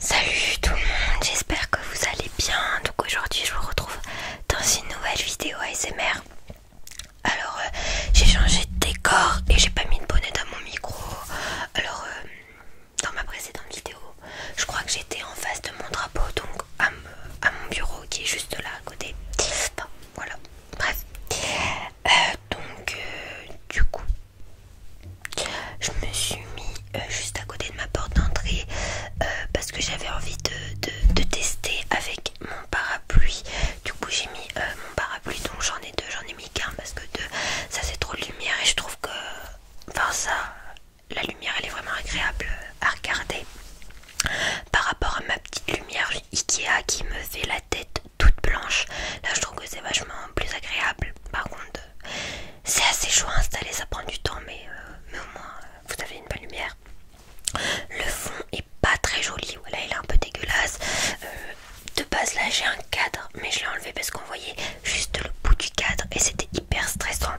Salut tout le monde, j'espère que vous allez bien. Donc aujourd'hui je vous retrouve dans une nouvelle vidéo ASMR. Alors euh, j'ai changé de décor et j'ai pas mis de bonnet dans mon micro. Alors euh, dans ma précédente vidéo, je crois que j'étais en face de mon drapeau, donc à, mon bureau qui est juste là à côté. voilà, bref. Euh, donc, euh, du coup, je me suis mis euh, juste à côté de ma porte d'entrée parce que j'avais envie de, tester avec mon parapluie. Du coup, j'ai mis mon parapluie, donc j'en ai deux, j'en ai mis qu'un parce que deux, ça c'est trop de lumière et je trouve que, enfin, ça, la lumière elle est vraiment agréable à regarder par rapport à ma petite lumière Ikea qui me fait la tête toute blanche Là, je trouve que c'est vachement plus agréable. Par contre, c'est assez chaud à installer, ça prend du temps, mais, euh, au moins, euh, vous avez une bonne lumière. Le fond est pas très joli, voilà, il est un peu dégueulasse. Euh, de base, là, j'ai un cadre, mais je l'ai enlevé parce qu'on voyait juste le bout du cadre et c'était hyper stressant.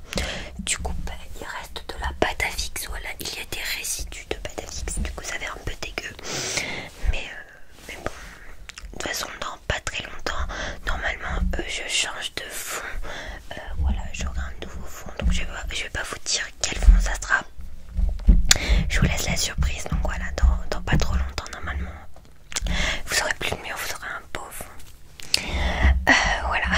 Du coup, bah, il reste de la pâte à fixe, voilà, il y a des résidus de pâte à fixe, du coup, ça fait un peu dégueu. Mais mais bon, de toute façon, dans pas très longtemps, normalement, je change de fond. Euh, voilà, j'aurai un nouveau fond, donc je vais, vais pas vous dire quel fond ça sera. Je vous laisse la surprise, donc voilà, dans, pas trop longtemps, normalement, vous aurez plus de mieux, vous aurez un beau fond. Euh, voilà.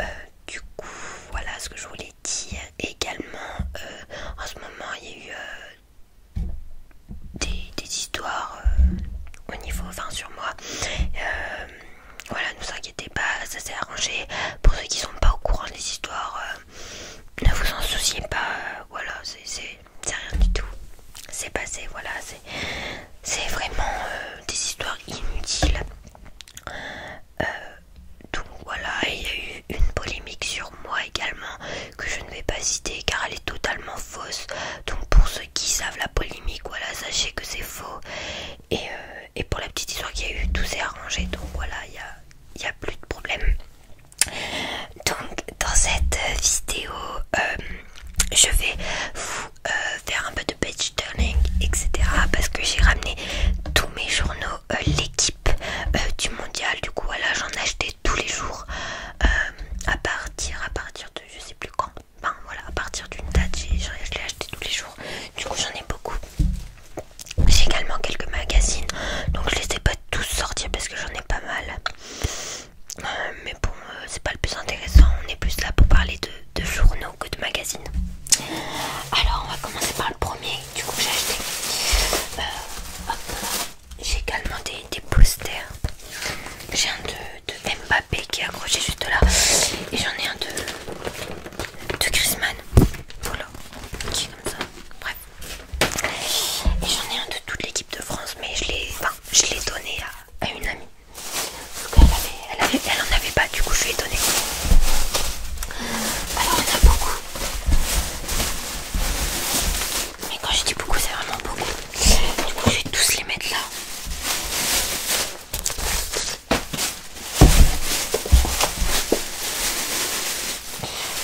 Euh, du coup, voilà ce que je voulais dire. également, en ce moment, il y a eu des, histoires euh, au niveau enfin sur moi euh, voilà ne vous inquiétez pas ça s'est arrangé pour ceux qui sont pas au courant des histoires euh, ne vous en souciez pas voilà c'est rien du tout c'est passé voilà c'est vraiment des histoires inutiles donc voilà, il y a eu une polémique sur moi également que je ne vais pas citer car elle est totalement fausse. Donc pour ceux qui savent la polémique, voilà, sachez que c'est faux. Et, euh, pour la petite histoire qu'il y a eu, tout s'est arrangé. Donc voilà, il n'y a, y plus de problème. Donc dans cette euh, vidéo, euh, je vais vous faire un peu de page turning, etc. Parce que j'ai ramené tous mes journaux, l'équipe euh, du mondial du coup voilà j'en achetais tous les jours euh, à partir à partir de je sais plus quand ben voilà à partir d'une date je l'ai acheté tous les jours du coup j'en ai beaucoup j'ai également quelques magazines donc je les ai pas tous sortis parce que j'en ai pas mal euh, mais bon c'est pas le plus intéressant on est plus là pour parler de, de journaux que de magazines alors on va commencer par le premier du coup j'ai acheté. Euh, j'ai également des, posters. J'ai un de, Mbappé qui est accroché juste là. Et j'en ai un de, de Chrisman. Voilà. Qui est comme ça. Bref. Et j'en ai un de toute l'équipe de France. Mais je l'ai enfin, donné à, une amie. elle, avait, avait, en avait pas, du coup je l'ai donné. Alors en a beaucoup mais quand je dis beaucoup, c'est vraiment beaucoup. Du coup, je vais tous les mettre là.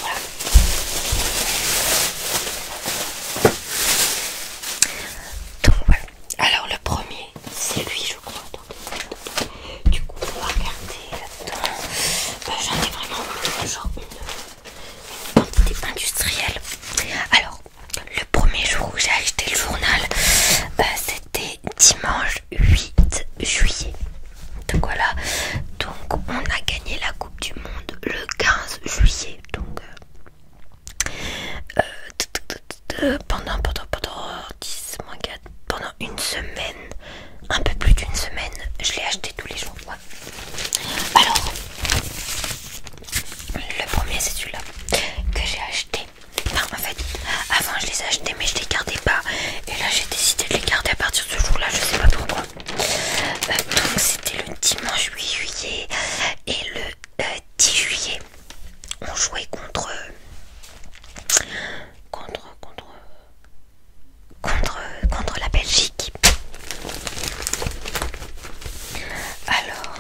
Voilà. Donc voilà. Alors le premier, c'est lui je crois. Du coup, on va regarder. Bah, j'en ai vraiment une, quantité industrielle. Alors, le premier jour où j'ai acheté le journal, euh, c'était dimanche 8 juillet. Donc voilà, donc on a gagné la Coupe du Monde le 15 juillet. Donc euh, euh, pendant, pendant, pendant 10, 4, pendant une semaine, un peu plus d'une semaine. Je l'ai acheté tous les jours. Alors, le premier c'est celui-là que j'ai acheté. Enfin, en fait, avant je les achetais mais je les gardais pas. Et là j'ai décidé de les garder à partir de ce jour-là, je sais pas pourquoi. Euh, donc c'était le dimanche 8 juillet et le 10 euh, juillet on jouait contre contre contre contre, contre la Belgique. Alors...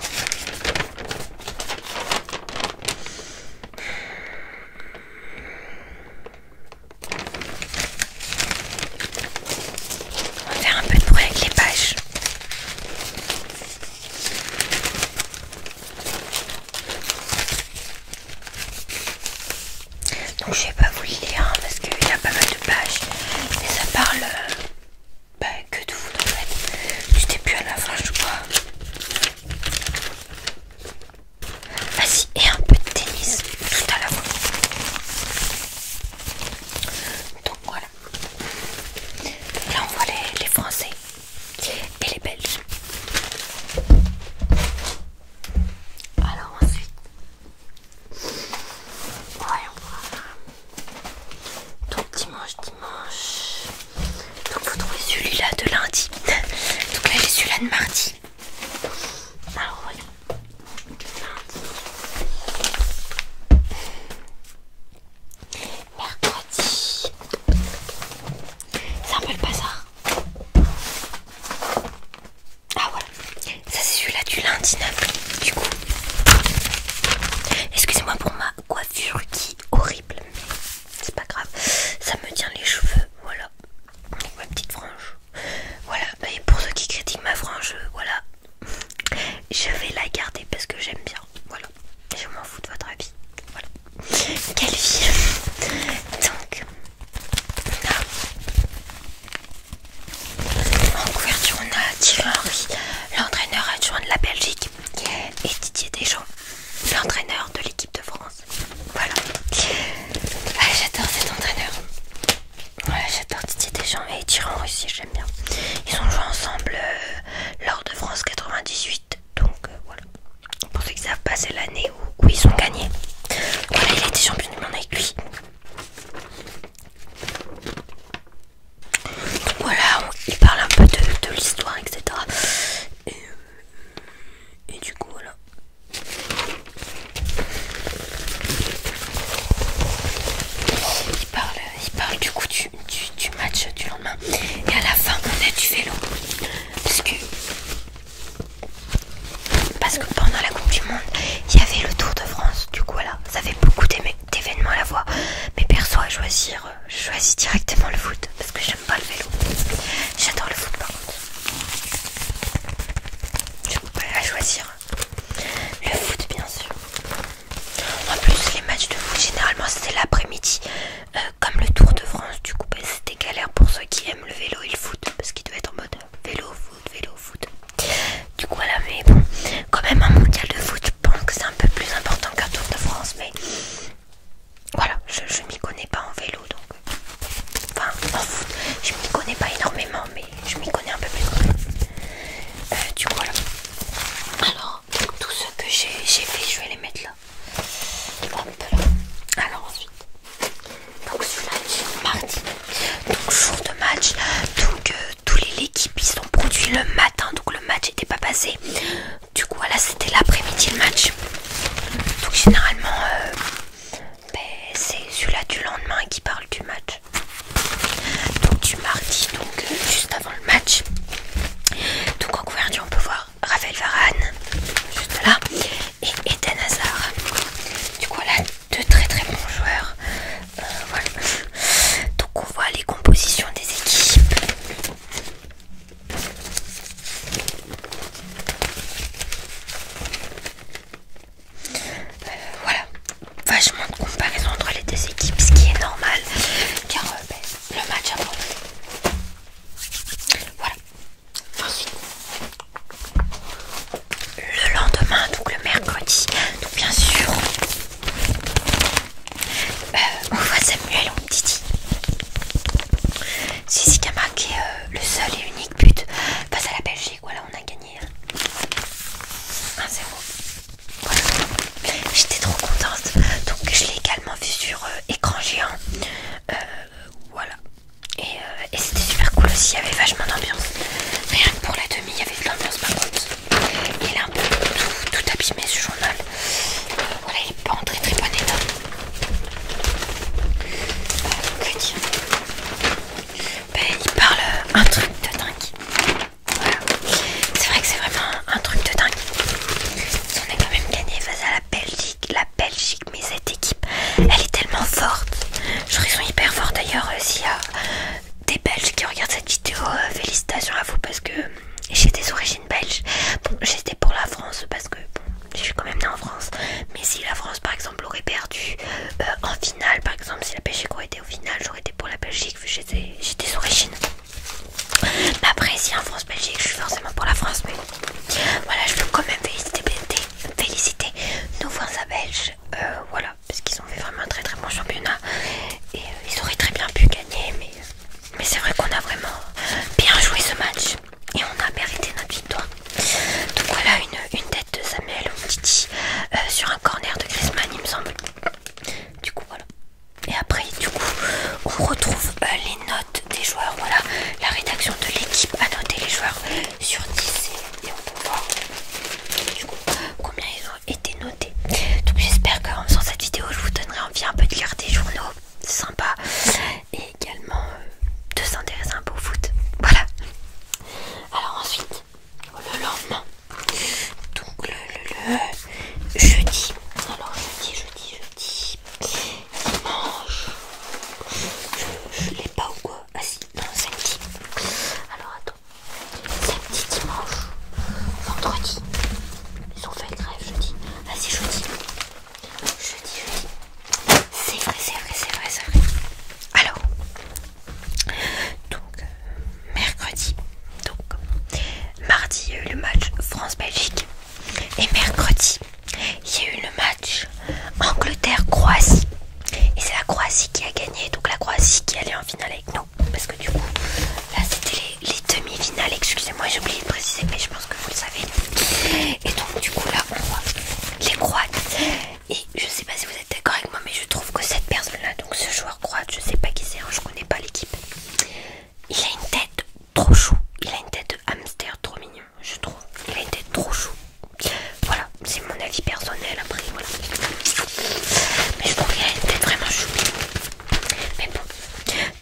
On va faire un peu de bruit avec les pages. Donc je vais pas vous lire hein, parce qu'il y a pas mal de pages et ça parle euh, bah, que de foot en fait. J'étais plus à la fin je crois. Vas-y et un peu de tennis tout à la fois. Donc voilà. là on voit les Français et les Belges. Alors ensuite, voyons voir. Donc dimanche, dimanche. Donc vous trouvez celui-là de lundi. Donc là, j'ai celui-là de mardi. Alors voyons. Lundi. Mercredi. C'est un peu le bazar. Ah voilà, ça c'est celui-là du lundi 9 du coup. Excusez-moi pour ma coiffure qui est horrible, mais c'est pas grave, ça me tient les cheveux, voilà. ma petite frange. Voilà, bah, et pour ceux qui critiquent ma frange, voilà. Je vais la garder parce que j'aime bien. Voilà. Je m'en fous de votre avis. Voilà. Quelle vie Donc, on a en couverture on a Thierry Henry, l'entraîneur adjoint de la Belgique, et Didier Deschamps, l'entraîneur de l'équipe de France. Voilà. Ah, j'adore cet entraîneur. Ouais j'adore Didier Deschamps et Thierry aussi, j'aime bien. Ils ont joué ensemble euh, lors de France 98, donc euh, voilà pour ceux qui savent passer l'année où, ils ont gagné. Voilà, il a été champion du monde avec lui. voilà, il parle un peu de, l'histoire, etc. Euh, et, du coup, voilà. Il parle, du coup du, du match du lendemain. Et à la fin, on a du vélo. Parce que parce que pendant la Coupe du Monde, il y avait le Tour de France. Du coup, voilà, ça fait beaucoup d'événements à la fois. Mais perso, à choisir, euh, je choisis directement le foot. Parce que j'aime pas le vélo. J'adore le foot, par contre. à choisir. Le foot, bien sûr. En plus, les matchs de foot, généralement, c'était l'après-midi. Euh, comme le Tour de France, du coup, bah, c'était galère pour ceux qui aiment le vélo et le foot, parce qu'ils devaient être en mode vélo, foot, vélo, foot. Du coup, voilà, mais bon, quand même un mondial de foot, je pense que c'est un peu plus important qu'un Tour de France, mais voilà, je, je m'y connais pas en vélo, donc enfin, en foot, je m'y connais pas énormément, mais je m'y connais un peu plus euh, du coup, voilà. Alors, tout ce que j'ai fait, je vais les mettre là. Alors ensuite, donc celui-là du mardi. Donc jour de match. Donc euh, tous les équipes ils sont produits le matin. Donc le match n'était pas passé. Du coup voilà c'était l'après-midi le match. Donc généralement euh, ben, c'est celui-là du lendemain qui parle du match. Donc du mardi donc euh, juste avant le match. Donc en couverture on peut voir Raphaël Varane, juste là, et Eden Hazard. Du coup, là, deux très très bons joueurs. Euh, Donc, on voit les compositions des équipes. Euh, voilà, vachement de comparaison entre les deux équipes, ce qui est normal car euh, ben, le match a Voilà, Ensuite, le lendemain, donc le mercredi, donc bien sûr, euh, on voit Samuel, on dit C'est qui est euh, le seul et unique but face à la Belgique. Voilà, on a gagné 1-0. Hein. j'étais trop contente. Donc, je l'ai également vu sur euh, écran géant. voilà, euh, et, c'était super cool aussi, il y avait vachement d'ambiance. Rien que pour la demi, il y avait de l'ambiance par contre. Il est un peu tout, abîmé ce journal. Euh, voilà, il est pas en très très bon état. Euh, que ben, Il parle un truc de dingue. Voilà. C'est vrai que c'est vraiment un, truc de dingue. On est quand même gagné face à la Belgique la Belgique, mais cette équipe, elle est tellement forte. Je trouve hyper fort d'ailleurs. aussi euh, S'il y a des Belges qui regardent cette vidéo, euh, félicitations à vous parce que j'ai des origines belges. j'étais pour la France parce que je suis quand même née en France. Mais si la France par exemple aurait perdu euh, en finale, par exemple, si la Belgique aurait été au final, j'aurais été pour la Belgique vu que j'ai des origines. Mais après, si en France-Belgique, je suis forcément pour la France, voilà, je veux quand même féliciter, féliciter nos voisins belges. Euh, voilà, parce qu'ils ont fait vraiment un très très bon championnat. Et euh, ils auraient très bien pu gagner, mais, c'est vrai qu'on a vraiment bien joué ce match. Et on a mérité notre victoire. Donc voilà une, tête de Samuel Titi euh, sur un corner de Griezmann, il me semble. Du coup, voilà. Et après, du coup, on retrouve les notes des joueurs. Voilà, la rédaction de l'équipe a noté les joueurs sur 10 et, on peut voir du coup, combien ils ont été notés. Donc j'espère qu'en faisant cette vidéo, je vous donnerai envie un peu de lire des journaux sympas et également euh, de s'intéresser un peu au foot. Voilà. Alors ensuite, le lendemain, donc le jeudi. Alors jeudi, jeudi, jeudi. Dimanche Je, l'ai pas ou quoi Ah si, non, samedi. Alors attends. Samedi, dimanche, vendredi. Ils ont fait grève jeudi. Vas-y, jeudi. Jeudi, jeudi. C'est vrai, c'est vrai, c'est vrai, c'est vrai. Alors, donc, euh, mercredi. Donc, mardi, il y a eu le match France-Belgique. Et mercredi, il y a eu le match Angleterre-Croatie. Et c'est la Croatie qui a gagné, donc la Croatie qui allait en finale avec nous. Parce que du coup, là c'était les, demi-finales, excusez-moi, j'ai oublié de préciser, mais je pense que vous le savez. Et donc du coup là, on voit les Croates. Et je sais pas si vous êtes d'accord avec moi, mais je trouve que cette personne-là, donc ce joueur croate, je sais pas qui c'est, hein, je connais pas l'équipe. Il a une tête trop chou. Il a une tête hamster trop mignon, je trouve. Il a une tête trop chou. Voilà, c'est mon avis personnel après. Mais je trouve qu'il a une tête vraiment chou. Mais bon.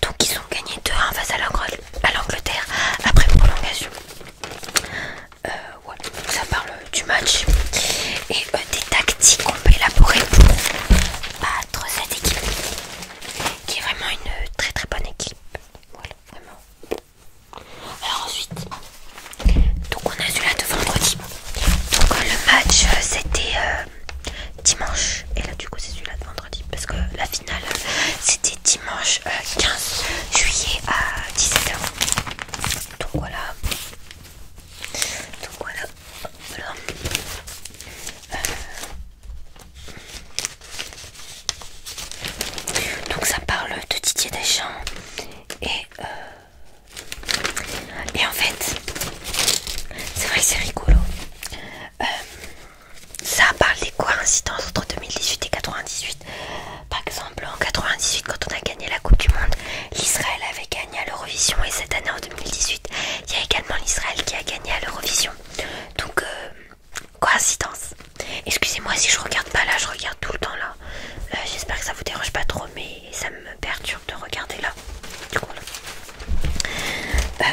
Donc ils ont gagné 2-1 face à l'Angleterre après prolongation. Euh, donc ça parle du match et euh, des tactiques qu'on peut élaborer pour battre cette équipe qui est vraiment une très très bonne équipe. Voilà, vraiment. Alors ensuite, donc on a celui-là de vendredi. Donc euh, le match euh, c'était euh, dimanche. Et là du coup c'est celui-là de vendredi. Parce que la finale c'était dimanche 15 juillet à 17h. Donc voilà. Donc voilà. voilà. Donc ça parle de Didier Deschamps et euh, et en fait c'est vrai que c'est rigolo. Euh, ça parle des coïncidences entre 2018 et 98. Par exemple en 98 quand on a gagné la Coupe du Monde, l'Israël avait gagné à l'Eurovision et cette année en 2018 il y a également l'Israël qui a gagné à l'Eurovision. Donc euh, Coïncidence. Excusez-moi si je regarde pas là, je regarde tout le temps là. Euh, j'espère que ça vous dérange pas trop, mais ça me perturbe de regarder là. Du coup, euh,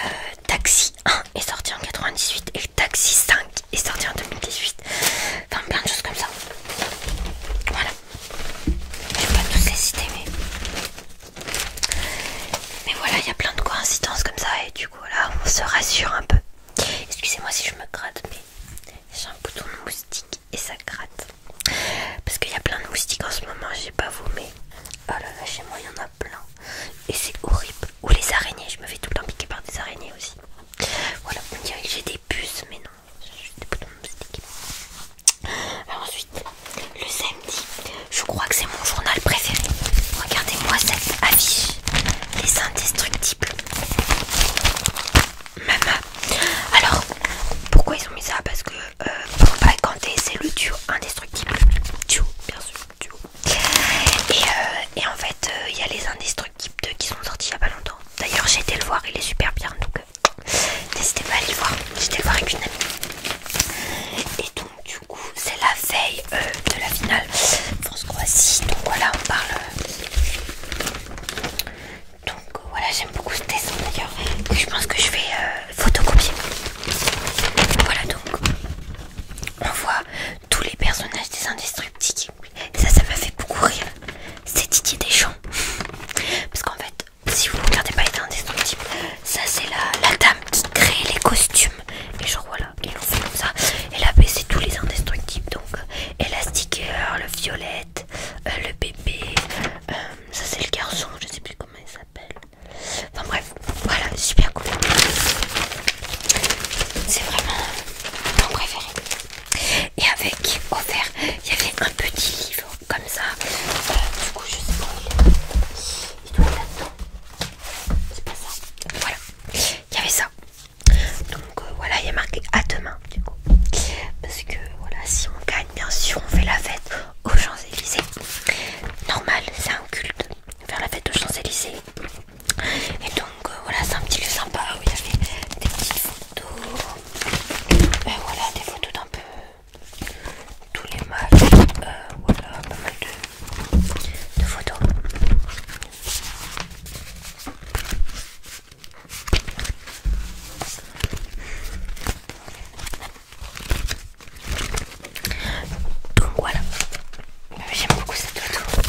Taxi 1 est sorti en 98 et Taxi 5 est sorti en 2018. Enfin, plein de choses comme ça. Voilà. Je pas tous les citer, mais. Mais voilà, il y a plein de coïncidences comme ça, et du coup. Voilà, on se rassure un peu. Excusez-moi si je me gratte, mais j'ai un bouton de moustique et ça gratte. Parce qu'il y a plein de moustiques en ce moment, j'ai pas vomi mais oh là là, chez moi il y en a plein. Et c'est horrible. Ou les araignées, je me fais tout le temps piquer par des araignées aussi. Voilà, on dirait que j'ai des puces, mais non, j'ai des boutons de moustiques. ensuite, le sel. Je crois que c'est mon journal préféré. Regardez-moi cette affiche. Les indestructibles. Maman Alors, pourquoi ils ont mis ça Parce que euh, pour ne pas c'est le duo indestructible. Duo, bien sûr, euh, Et, en fait, euh, il y a les indestructibles 2 qui sont sortis il y a pas longtemps. D'ailleurs, j'ai été le voir, il est super bien. Donc, n'hésitez pas à aller le voir. J'étais le voir avec une amie. Et tout donc du coup c'est la veille euh, de la finale France-Croatie donc voilà on parle euh. donc voilà j'aime beaucoup ce dessin d'ailleurs je pense que je vais euh, photocopier voilà donc on voit tous les personnages des indestructibles et ça ça m'a fait beaucoup rire c'est Didier Deschamps parce qu'en fait si vous regardez pas les indestructibles ça c'est la dame qui crée les costumes et genre voilà ils l'ont fait comme ça et là c'est tous les indestructibles donc euh, élastiqueur, euh, le violette euh, le bébé ça c'est le garçon je sais plus comment il s'appelle enfin bref voilà super cool c'est vraiment mon préféré et avec offert il y avait un petit livre comme ça du coup je sais pas il, doit être là c'est pas ça. Voilà. Il y avait ça. Donc euh, voilà, il y a marqué à demain du coup. Parce que voilà, si on gagne, bien sûr, on fait la fête aux Champs-Élysées. Normal, c'est un culte. Faire la fête aux Champs-Élysées. Et donc euh, voilà, c'est un petit lieu sympa où il y avait des petites photos. et ben, voilà, des photos d'un peu tous les matchs. Euh, voilà, pas mal de, photos. Donc voilà, j'aime beaucoup cette photo.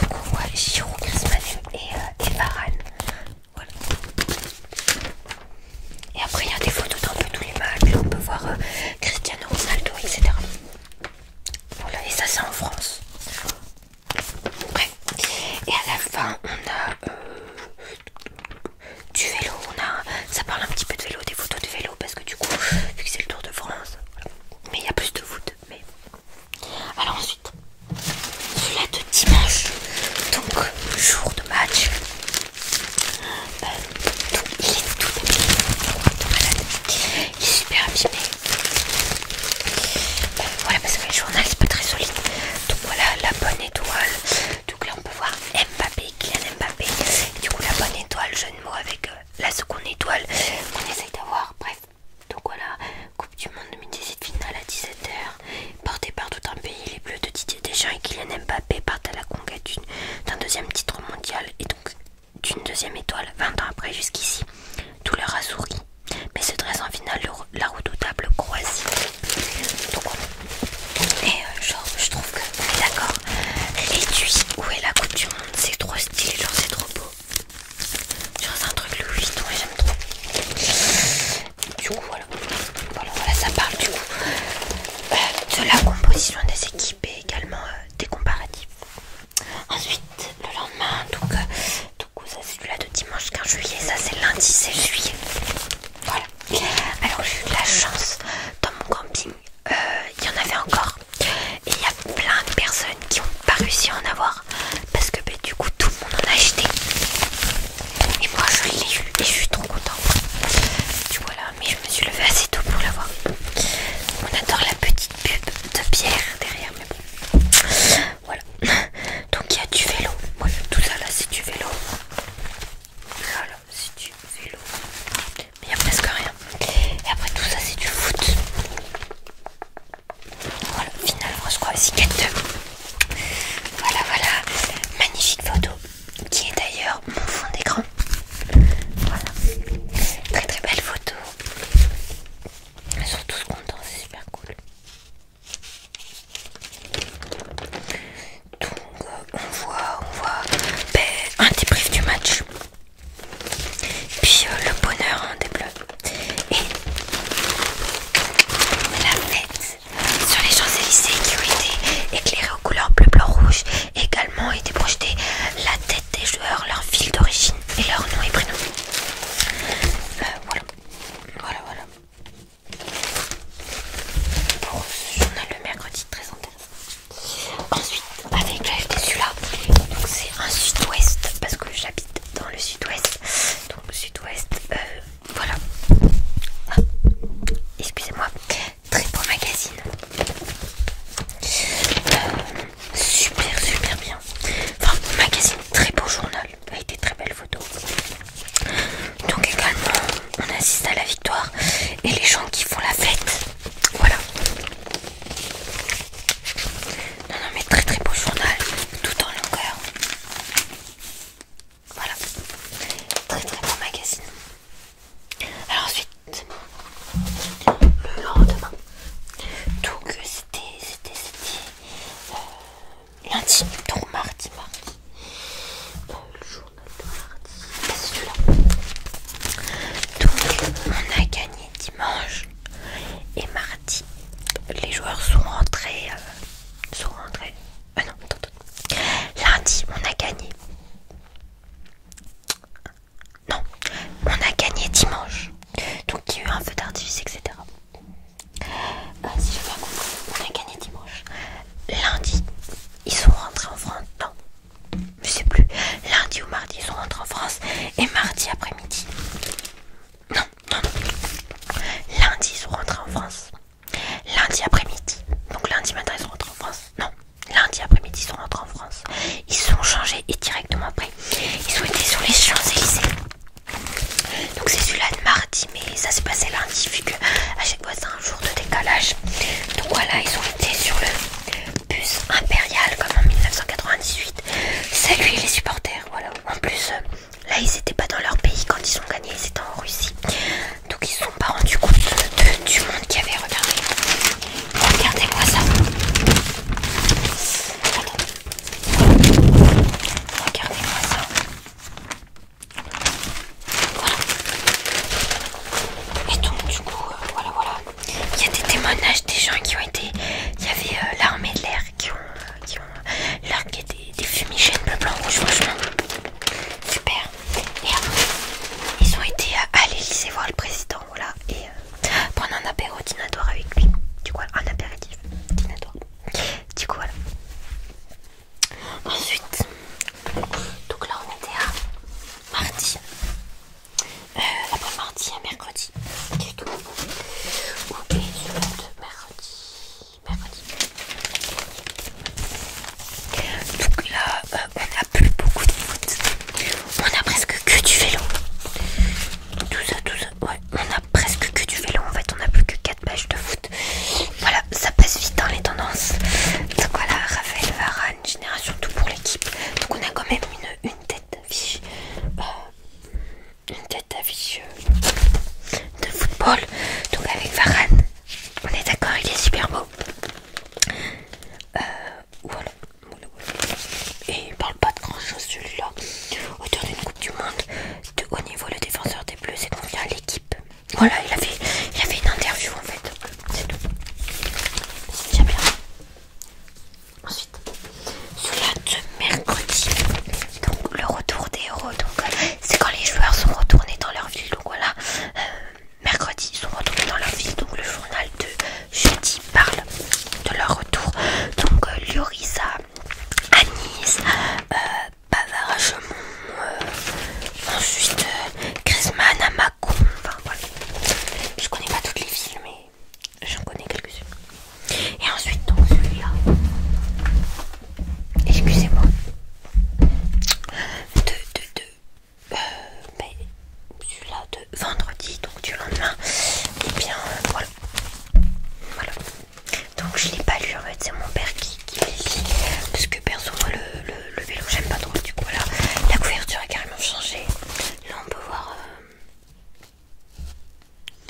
Donc on voit Giroud, Manu et, euh, et Varane. Voilà. Et après, il y a des photos d'un peu tous les matchs. On peut voir euh, Cristiano Ronaldo, etc. et ça, c'est en France. Bref, Et à la fin, on a euh, du vélo. On a, ça parle un petit peu de vélo, des photos de vélo, parce que du coup, vu que c'est le Tour de France, mais il y a plus de foot. Mais... Alors ensuite, cela de dimanche, donc jour de match il est tout il est super abîmé. Euh, voilà, parce que le journal c'est pas très solide. Donc voilà la bonne étoile. Donc là on peut voir Mbappé, Kylian Mbappé. du coup la bonne étoile, Jeune mot avec euh, la seconde étoile qu'on essaye d'avoir. Bref, donc voilà, Coupe du Monde 2017 finale à 17h. Portée par tout un pays, les bleus de Didier Deschamps et Kylian Mbappé partent à la conquête d'un deuxième titre mondial et donc d'une deuxième étoile 20 ans après jusqu'ici. Tout leur a mais se dresse en finale la redoutable Croatie. Donc, et euh, genre, je trouve que, d'accord, l'étui où est la Coupe c'est trop stylé, genre c'est trop beau. Genre c'est un truc Louis Vuitton et j'aime trop. Du coup, voilà, voilà, ça parle du coup euh, de la composition des équipes et également euh, des comparatifs. Ensuite, le lendemain, donc, euh, donc ça c'est celui-là de dimanche 15 juillet, ça c'est lundi 16 juillet. Voilà. Alors j'ai eu de la chance dans mon camping, euh, il y en avait encore. Et il y a plein de personnes qui n'ont pas réussi à en avoir parce que ben, du coup tout le monde en a acheté. Et moi je l'ai eu et je suis trop contente. Tu vois là, mais je me suis levée assez tôt pour l'avoir On adore la petite pub de pierre derrière, Voilà. Donc il y a du vélo. tout ça là c'est du vélo. Voilà, c'est du vélo. Mais il n'y a presque rien. Et après tout ça c'est du foot. Voilà, finalement je crois, 4 Voilà, voilà. Magnifique photo qui est d'ailleurs mon fond d'écran. Voilà, très très belle photo. Ils sont tous contents, c'est super cool. Donc euh, on voit, on voit ben, un débrief du match, puis euh, le bonheur en hein, des bleus et la fête sur les Champs-Élysées qui ont été éclairés aux couleurs bleu, blanc, rouge Également été projeté la tête des joueurs, leur ville d'origine et leur nom et prénom. Euh, voilà, voilà, voilà. Pour ce journal le mercredi, très intéressant. Ensuite, avec l'AFT acheté celui-là. Donc c'est un sud-ouest parce que j'habite dans le sud-ouest. Donc sud-ouest, euh, voilà. Ah, excusez-moi. Très beau magazine. Euh, super, super bien. Enfin, magazine, très beau journal. Avec des très belles photos. Donc également, on assiste à la victoire. Et les gens qui font la fête. Voilà. Non, non, mais très très beau journal. Tout en longueur. Voilà, très très bon magazine. Alors ensuite, le lendemain, donc euh, c'était, c'était, c'était euh, lundi, donc mardi, mardi, euh, le journal de mardi, c'est celui-là. Donc on a gagné dimanche et mardi, les joueurs sont rentrés, sont rentrés, ah non, lundi on a gagné. Non, on a gagné dimanche. Donc il y a eu un feu d'artifice, etc. Ah, si je on a gagné dimanche. Lundi, ils sont rentrés en France. Non, je sais plus. Lundi ou mardi, ils sont rentrés en France. Et mardi après-midi. Non, non, non. Lundi, ils sont rentrés en France. Lundi après-midi, donc lundi matin ils sont rentrés en France. Non, lundi après-midi ils sont rentrés en France. Ils sont changés et directement après, ils ont été sur les Champs-Élysées. Donc c'est celui-là de mardi, mais ça s'est passé lundi vu que à chaque fois c'est un jour de décalage. Donc voilà, ils ont été sur le bus impérial comme en 1998. Salut les supporters, voilà. En plus, euh, là ils n'étaient pas dans leur pays quand ils ont gagné, ils étaient en Russie. Donc ils sont pas rendus compte de, du monde qui avait. regardé Regardez-moi ça. Regardez-moi ça. Voilà. Et donc du coup, euh, voilà, voilà. Il y a des témoignages des gens qui ont été... Il y avait euh, l'armée de l'air qui ont, qui ont qui des, des fumigènes bleu, blanc, rouge, franchement. Super. Et euh, Ils ont été à l'Elysée voir le président, voilà, et euh, prendre un apéro dinatoire avec lui. Du coup, un apéritif dinatoire, Du coup, voilà. Ensuite, donc là on était à mardi. Euh, après mardi à mercredi. Ok, secondes, mercredi. Mercredi. Donc là, euh, on n'a plus beaucoup de foot On a presque que du vélo. Tout ça, tout Ouais, on a presque que du vélo. En fait, on n'a plus que 4 pages de foot. Voilà, ça passe vite dans hein, les tendances. Donc voilà, Raphaël Varane, génération tout pour l'équipe. Donc on a quand même une, tête à une tête à euh, euh, de football. Donc avec Varane, on est d'accord, il est super beau. Euh, et il parle pas de grand chose celui-là. Autour d'une Coupe du Monde, de haut niveau, le défenseur des Bleus et vient à l'équipe. Voilà, il a, fait, il une interview en fait. C'est tout. c'est bien. Ensuite, cela de mercredi. Donc, le retour des héros. Donc, euh, c'est quand les joueurs sont retournés dans leur ville donc voilà, euh, mercredi ils sont retournés dans leur ville, donc le journal de jeudi parle de leur retour. Donc euh, Liorisa, Anis, euh, euh, ensuite Chris à enfin voilà. Je connais pas toutes les villes mais j'en connais quelques-unes. Et ensuite donc celui-là. Excusez-moi de, de, de euh, mais celui-là de vendredi, donc du lendemain, et eh bien voilà. Voilà. Donc je l'ai pas lu en fait, c'est mon père qui, qui l'a lu. Parce que perso moi le, vélo j'aime pas trop, du coup voilà. La couverture a carrément changé. Là on peut voir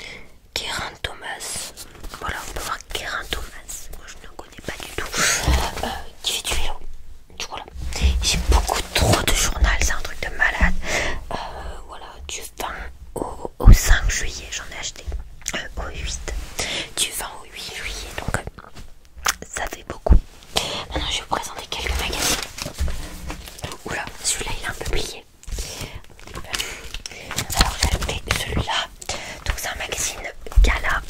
euh, Thomas. Voilà, on peut voir Guérin Thomas. Moi je pas du tout, euh, euh, du vélo. Du j'ai beaucoup trop de journal, c'est un truc de malade. Euh, voilà, du 20 au, 5 juillet, j'en ai acheté au 8. Du 20 au 8 juillet, donc ça fait beaucoup. Maintenant, je vais vous présenter quelques magazines. Oula, celui-là il est un peu plié. Alors j'ai acheté celui-là donc c'est un magazine Gala.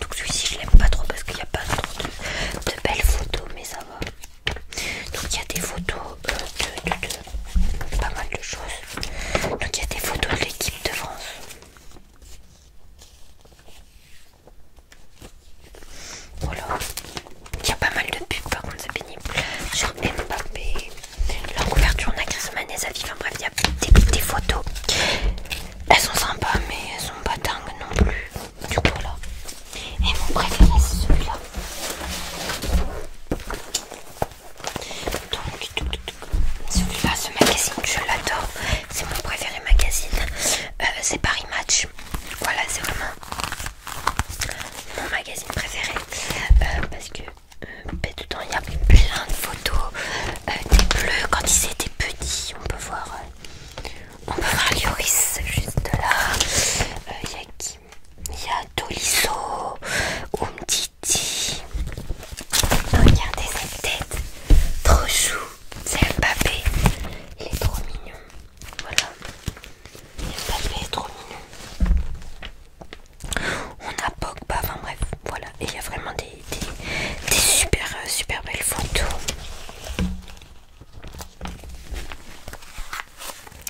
Donc celui-ci je l'aime pas trop parce qu'il n'y a pas trop de, belles photos, mais ça va. Donc il y a des photos euh, de, pas mal de choses. Donc il y a des photos de l'équipe de France. Voilà, il y a pas mal de pubs par contre, c'est pénible. Sur Mbappé, la couverture, on a des avis, enfin bref, il y a des, photos. Elles sont sympas, mais elles sont pas dingues non plus. Du coup, là. Et mon préféré, c'est celui-là. Donc, celui-là, ce magazine, je l'adore. C'est mon préféré magazine. Euh, c'est Paris Match. Voilà, c'est vraiment mon magazine préféré. Euh, parce que euh, ben, il y a plein de photos euh, des bleus quand ils étaient petits. On peut voir, euh, on peut voir Lioris juste là. Il y a qui Il y a Tolisso, Regardez cette tête, trop chou. C'est Mbappé, il est trop mignon. Voilà, papé est trop mignon on a Pogba, enfin bref, voilà. Et il y a vraiment des, super, euh, super belles photos.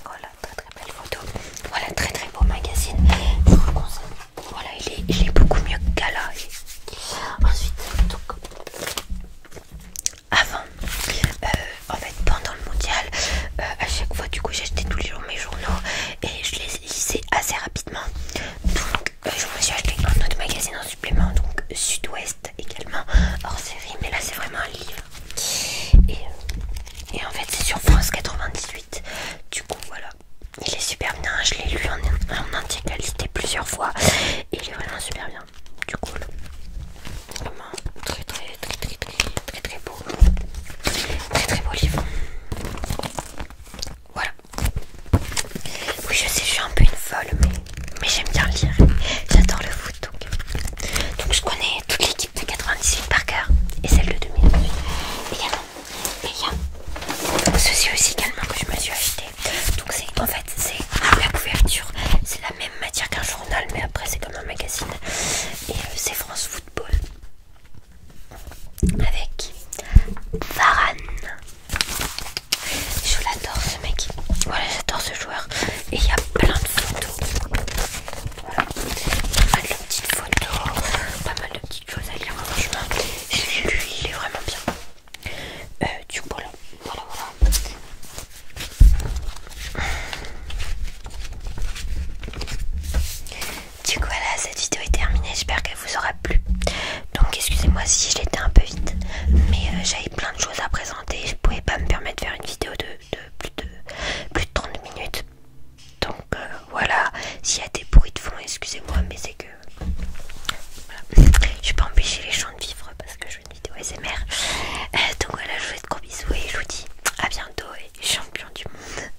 Voilà, très très belles photos, Voilà, très très beau magazine. Je vous Voilà, il est, beaucoup mieux que Gala. Ensuite, donc, avant, euh, en fait, pendant le mondial, euh, à chaque fois, du coup, j'achetais tous les jours mes journaux et je les c'est assez rapidement. Donc, euh, je me suis acheté un autre magazine en supplément, donc Sud-Ouest également, hors série, mais là c'est vraiment un livre. Et, euh, en fait, c'est sur France 98. Du coup, voilà. Il est super bien, je l'ai lu en, en intégralité plusieurs fois. Et il est vraiment super bien. Du coup, vraiment très très très très très très très beau. Très très beau livre. Voilà. Oui, je sais, je suis un peu une folle, mais, j'aime bien lire. J'adore le foot, donc. je connais toute l'équipe de 98 par cœur et celle de 2008 également. il y a ceci aussi également que je me suis acheté. Donc, c'est en fait, c'est la couverture. C'est la même matière qu'un journal, mais après, c'est comme un magazine. Et euh, c'est France Football avec Varane. Je l'adore ce mec. Voilà, j'adore ce joueur. Et il y a plein de photos. Voilà. Pas mal de petites photos. Pas mal de petites choses à lire. Franchement, je il est vraiment bien. Euh, du coup, voilà. Voilà, voilà. Du coup voilà cette vidéo est terminée, j'espère qu'elle vous aura plu. Donc excusez-moi si je l'étais un peu vite, mais euh, j'avais plein de choses à présenter, je pouvais pas me permettre de faire une vidéo de, plus, de 30 minutes. Donc euh, voilà, s'il y a des bruits de fond, excusez-moi, mais c'est que... Voilà. Je pas empêcher les gens de vivre parce que je fais une vidéo SMR. Euh, donc voilà, je vous fais de gros bisous et je vous dis à bientôt et champion du monde.